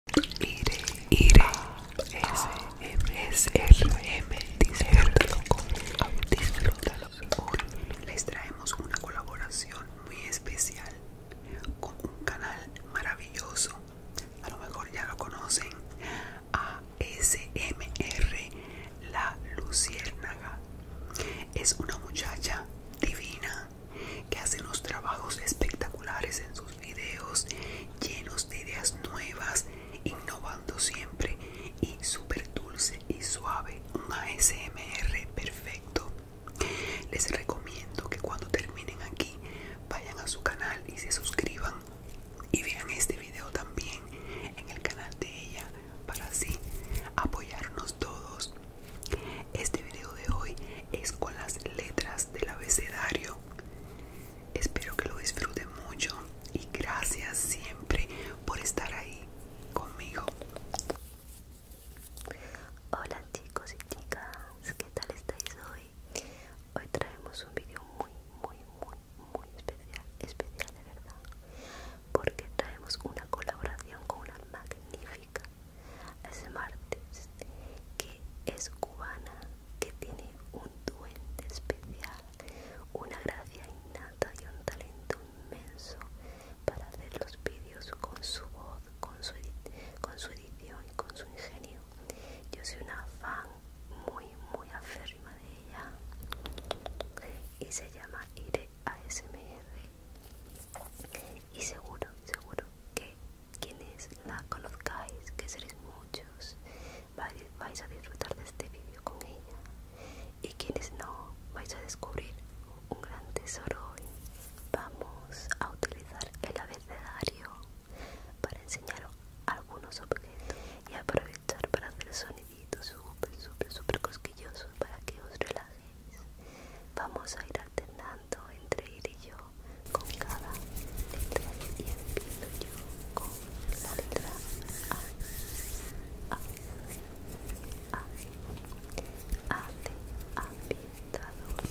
Iré, iré, SMSRM, disfrútalo, disfrútalo. Hoy les traemos una colaboración muy especial con un canal maravilloso. A lo mejor ya lo conocen. ASMR La Luciérnaga. Es una muchacha divina que hace unos trabajos espectaculares en sus videos, llenos de ideas nuevas, innovando siempre y super dulce y suave, un ASMR perfecto. Les recomiendo que cuando terminen aquí vayan a su canal y se suscriban y vean este video también en el canal de ella para así apoyarnos todos. Este video de hoy es con las letras del abecedario espero que lo disfruten mucho y gracias siempre por estar ahí conmigo hola chicos y chicas qué tal estáis hoy hoy traemos un video muy muy muy muy especial especial de verdad porque traemos una colaboración con una magnífica es martes que es cubana que tiene un duende especial una gracia innata y un talento inmenso para hacer los vídeos con su voz con su, con su edición y con su ingenio yo soy una fan muy muy aférrima de ella y se llama Ire ASMR y seguro seguro que quienes la conozcáis, que seréis muchos, vais a disfrutar de este vídeo con ella. Y quienes no, vais a descubrir un gran tesoro hoy. Vamos a utilizar el abecedario para enseñaros algunos objetos y aprovechar para hacer soniditos súper, súper, súper cosquillosos para que os relajéis. Vamos a ir alternando entre ir y yo con cada letra y empiezo yo con la letra A. A. A. A de ambientador. A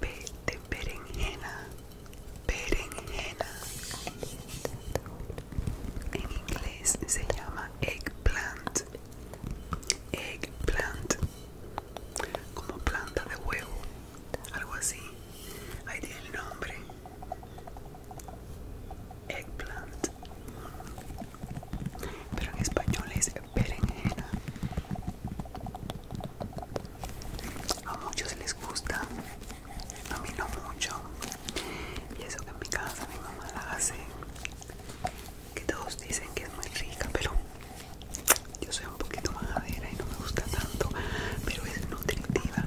p de perenjena perenjena En inglés se llama eggplant, eggplant, como planta de huevo, algo así. Ahí tiene el nombre. Eggplant. Pero en español es perenjena A muchos les gusta, a mí no mucho. Y eso que en mi casa mi mamá la hace, que todos dicen que es muy rica, pero yo soy un poquito majadera y no me gusta tanto, pero es nutritiva.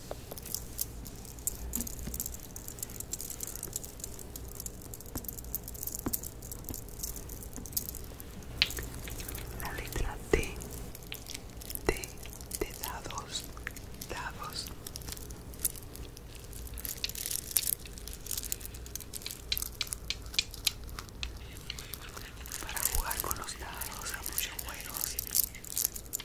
La letra T, D de dados, dados. Para jugar con los dados a muchos juegos.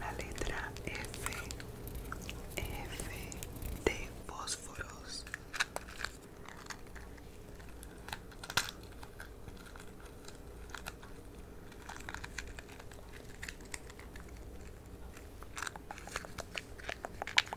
La letra F, F de fósforos.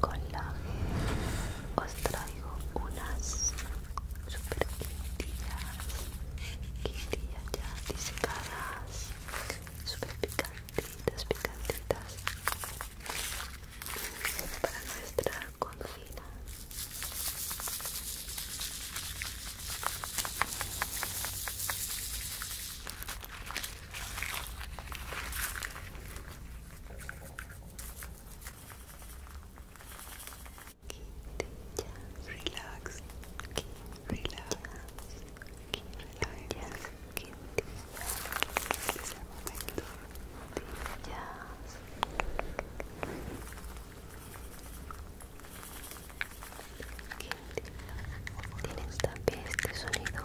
con que os traigo unas super quintillas, quintillas ya disecadas super picantitas, picantitas para nuestra cocina. Relax. Relax. Relax. Es el momento. Tienes también este sonido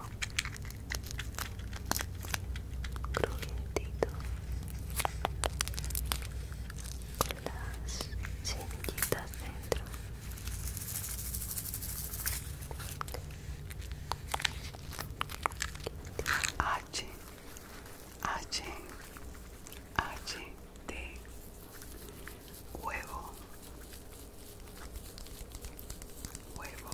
crujientito con las semillitas dentro. H H H T huevo huevo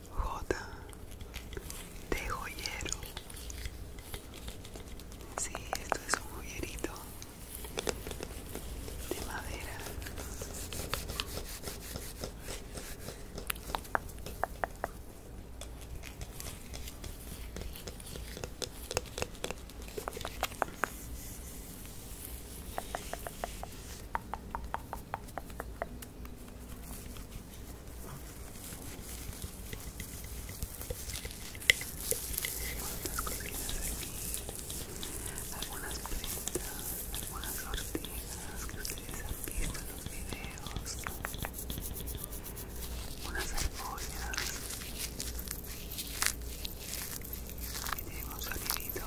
Jota de joyero. Sí, esto es un joyerito de madera. Algunas cositas aquí, algunas plantas, algunas ortigas que ustedes han visto en los videos, unas argollas que tenemos un sonidito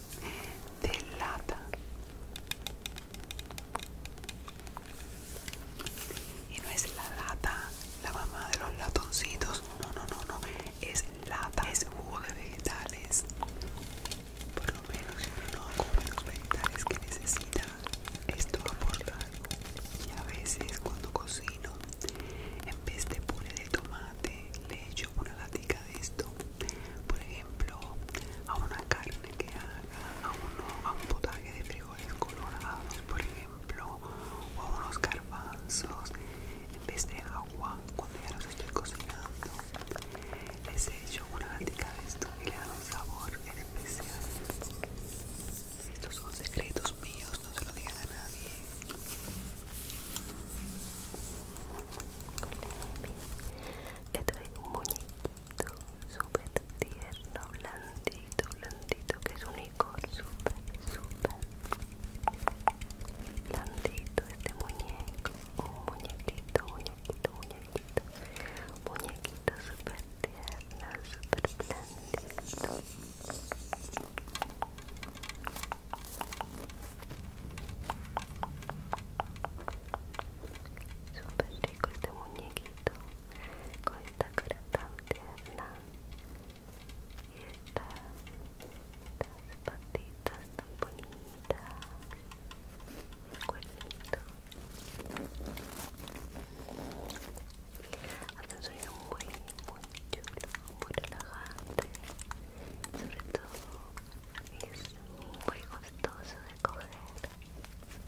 de lata y no es la lata la mamá de los latoncitos no no no no es lata es jugo de vegetales por lo menos uno no como los vegetales que necesita esto algo y a veces cuando cocino en vez de puré de tomate le echo una latica de esto por ejemplo a una carne que haga, a, uno, a un potaje de frijoles colorados, por ejemplo, o a unos garbanzos, en vez de agua, cuando ya los estoy cocinando, les hecho una gatita de esto y le da un sabor especial. Estos son secretos míos, no se lo digan a nadie. Le traigo un muñequito súper tierno, blandito, blandito, que es un licor súper, súper blandito este muñeco. Un muñequito, muñequito, muñequito. Muñequito súper tierno, súper blandito. Súper rico este muñequito con esta cara tan tierna y estas patitas tan bonitas, el cuernito. Hace un sonido muy chulo, muy relajante, sobre todo es muy gustoso de coger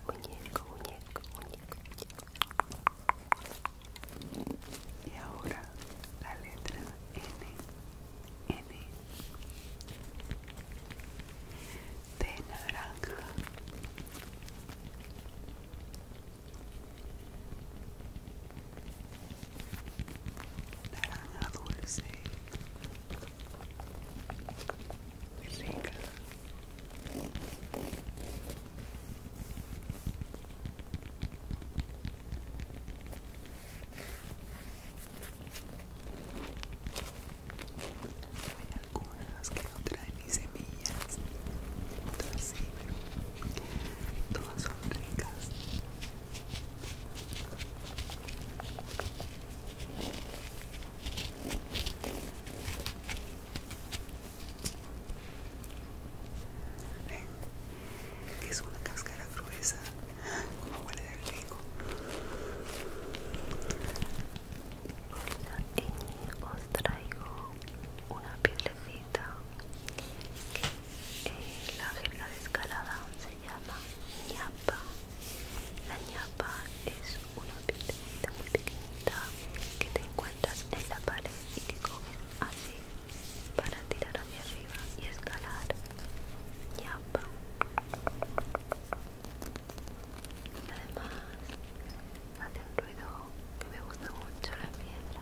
muñeco, muñeco, muñeco, y ahora la letra N N de naranja naranja dulce rica hay algunas que no traen ni semillas otras sí pero todas son ricas es una cáscara gruesa, como huele de rico. Y os traigo una piedrecita que eh, la escalada. de se llama ñapa. La ñapa es una piedrita muy pequeñita que te encuentras en la pared y que coges así para tirar hacia arriba y escalar. ñapa. Además, hace un ruido que me gusta mucho la piedra.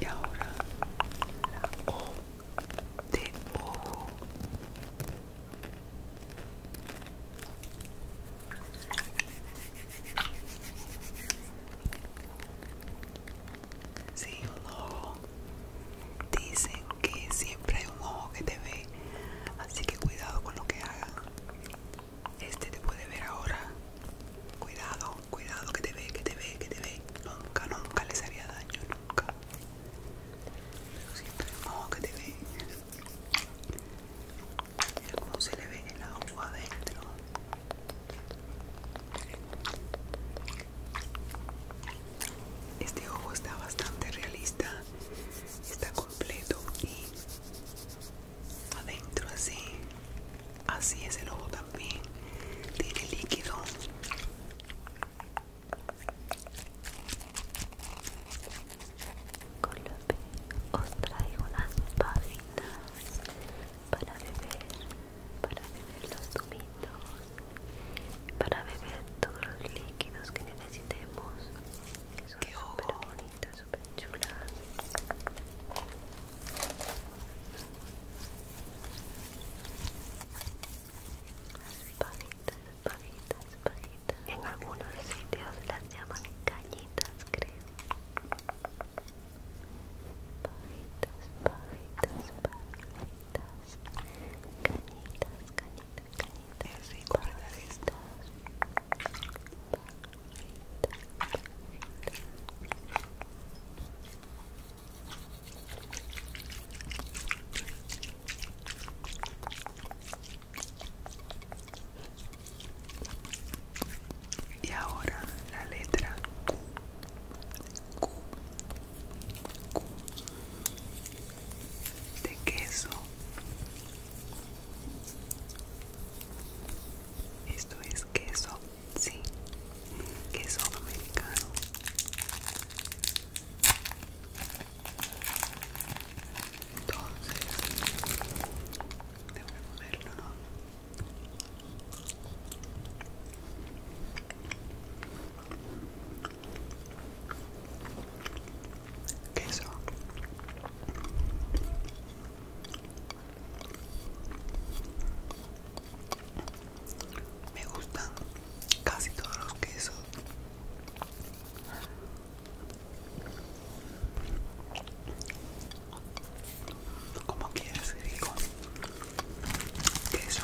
Y ahora la O de ojo. Sí, un ojo. Dicen que siempre hay un ojo que te ve, así que cuidado con lo que hagas. Este te puede ver ahora. Cuidado cuidado que te ve, que te ve, que te ve. Nunca, nunca les haría daño, nunca. Pero siempre, ojo que te ve. Mira cómo se le ve el agua adentro. Este ojo está bastante realista, está completo y adentro así Así es el ojo también. Tiene líquido. Con los que os traigo unas pavitas para beber, para beber los tubitos, para beber todos los líquidos que necesitemos. Que son súper bonitas, súper chulas. Pajitas, pajitas, pajitas. En algunos sitios las llaman cañitas, creo. Pajitas, pajitas, pajitas. Cañitas, cañitas, cañitas. Pajitas, pajitas, pajitas. Y ahora la letra Q. de queso. Esto es queso sí, queso americano. Entonces, que moverlo, ¿no? Queso me gustan casi todos los quesos. Como quieras, Digo, Queso.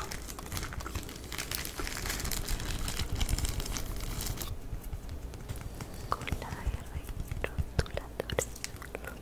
Cola de rey,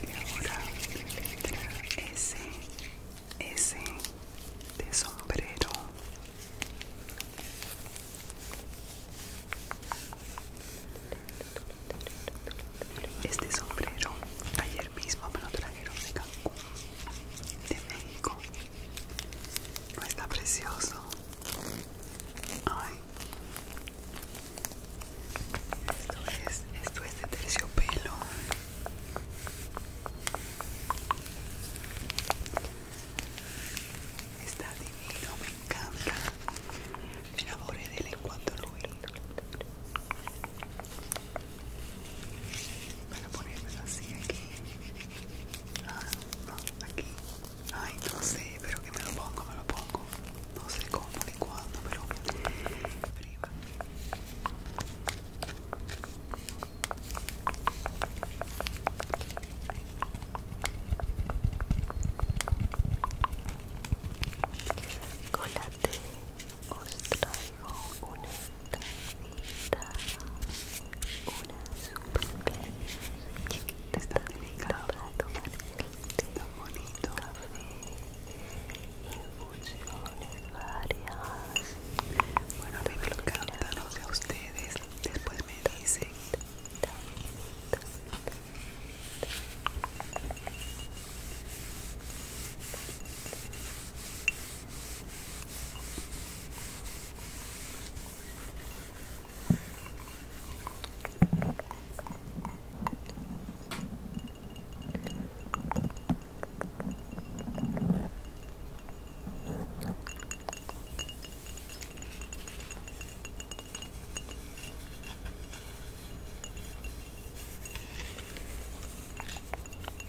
Y ahora la de sombrero. Este sombrero ayer mismo me lo trajeron de Cancún, de México está precioso. Esto es, de terciopelo. Está divino, me encanta. Me enamoré de él en cuanto lo vi. Para ponerme así aquí. Ah, aquí. Ay, no sé, pero que me lo pongo, me lo pongo. No sé cómo ni cuándo, pero prima. Colate, os traigo una cajita. Una está delicado tan bonito varias. Bueno, de de ustedes. Después me dicen.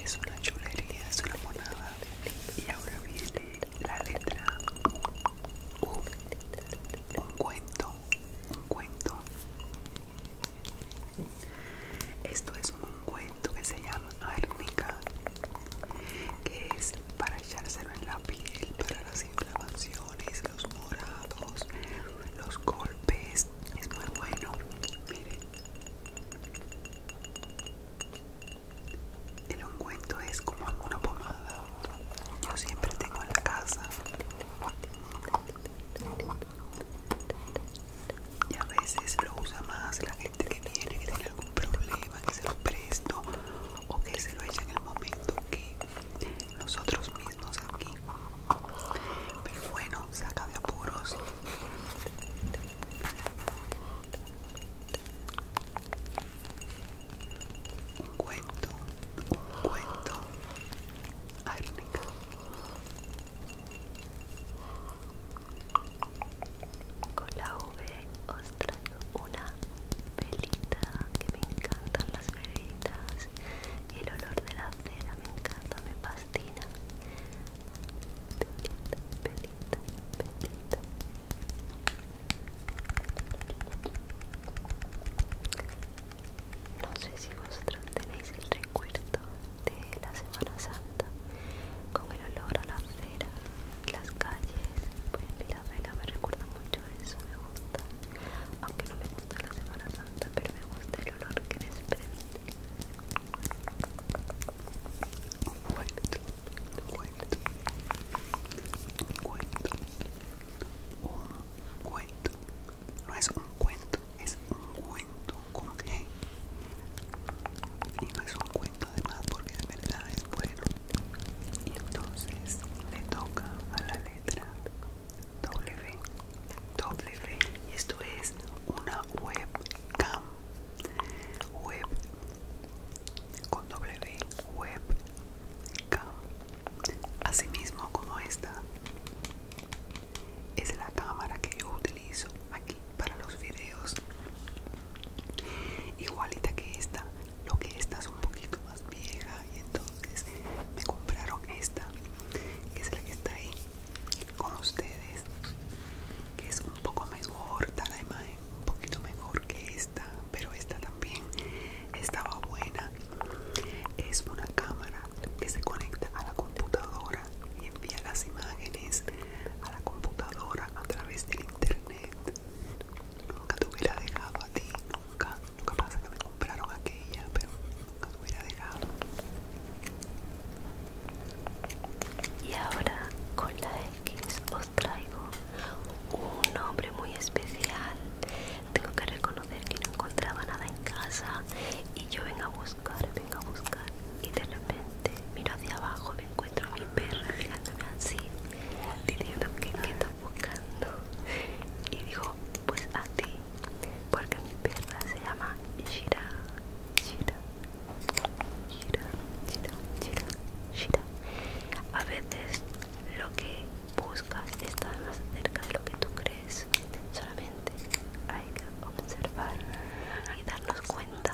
Es una chulería, es una monada. Y ahora viene la letra U. Un cuento, un cuento. Esto es un cuento que se llama arnica que es para echárselo en la piel, para las inflamaciones, los morados, los golpes. Es muy bueno. Miren. El ungüento es como una pomada. Yo siempre tengo en la casa. Y a veces lo usa más la gente que tiene, que tiene algún problema, que se lo presto o que se lo echa en el momento que nosotros mismos aquí. Pero bueno, saca de apuros un cuento, un cuento, árnica. Con la V os traigo una velita, que me encantan las velitas, el olor de la cera me encanta, me fascina. Velita, velita, velita, no sé si vosotros tenéis el recuerdo de la Semana Santa con el olor a la acera, las calles. Pues la vela me recuerda mucho a eso, me gusta. Aunque no me gusta la Semana Santa, pero me gusta el olor que desprende un cuento, un cuento, no es un cuento, es un cuento con y no es un cuento además porque de verdad es bueno y entonces le toca a la letra W, W y esto es una webcam web con W web así mismo como esta es la cámara que yo utilizo aquí para los videos igualita que esta lo que esta es un poquito más vieja y entonces me compraron esta que es la que está ahí con ustedes que es un poco mejor la imagen un poquito mejor que esta, pero esta también estaba buena. Es una cámara que se conecta a la computadora y envía las imágenes a la computadora a través del internet. Nunca te hubiera dejado a ti, nunca. Nunca pasa que me compraron aquella, pero nunca te hubiera dejado. Y ahora con la X traigo un hombre muy especial. Tengo que reconocer que no encontraba nada en casa y yo vengo a buscar, vengo a buscar y de repente miro hacia abajo, me encuentro a mi perra mirándome así, diciendo que qué está buscando y digo pues a ti, porque mi perra se llama Shira, Shira, a veces lo que buscas está más cerca de lo que tú crees. Solamente hay que observar y darnos cuenta.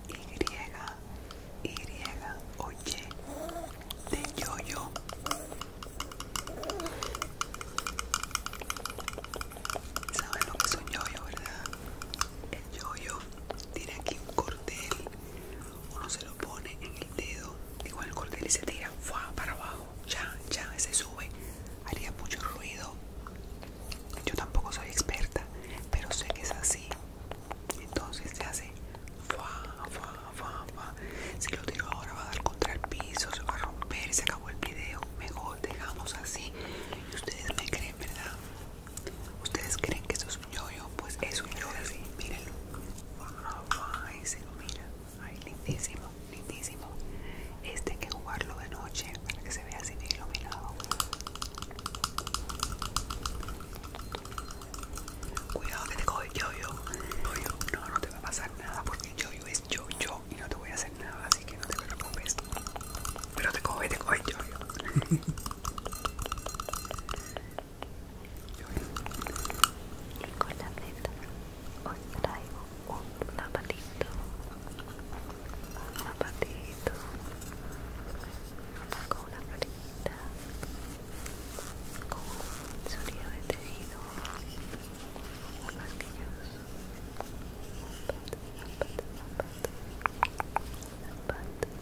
Y, Y oye, Y de Yoyo. ¿Saben lo que es un yoyo, verdad? El yoyo tiene aquí un cordel, uno se lo pone en el dedo, igual el cordel y se tira para abajo, ya, ya, se sube, haría mucho ruido yo tampoco soy experta, pero sé que es así. Entonces se hace Si lo tiro ahora va a dar contra el piso, se va a romper y se acabó el video. Mejor dejamos así. ustedes me creen, ¿verdad? Ustedes creen que esto es un yoyo, pues es un yoyo así. Mírenlo. Ahí se lo mira. ahí lindísimo, lindísimo. Este hay que jugarlo de noche se ve así de iluminado. Cuidado que te coge yo yo. No, no te va a pasar nada porque yo yo es yo yo y no te voy a hacer nada, así que no te preocupes. Pero te coge, te coge yo yo. Y con la neta traigo un zapatito un zapatito con una florita con un sonido de tejido masquilloso zapato, zapato, zapato zapato,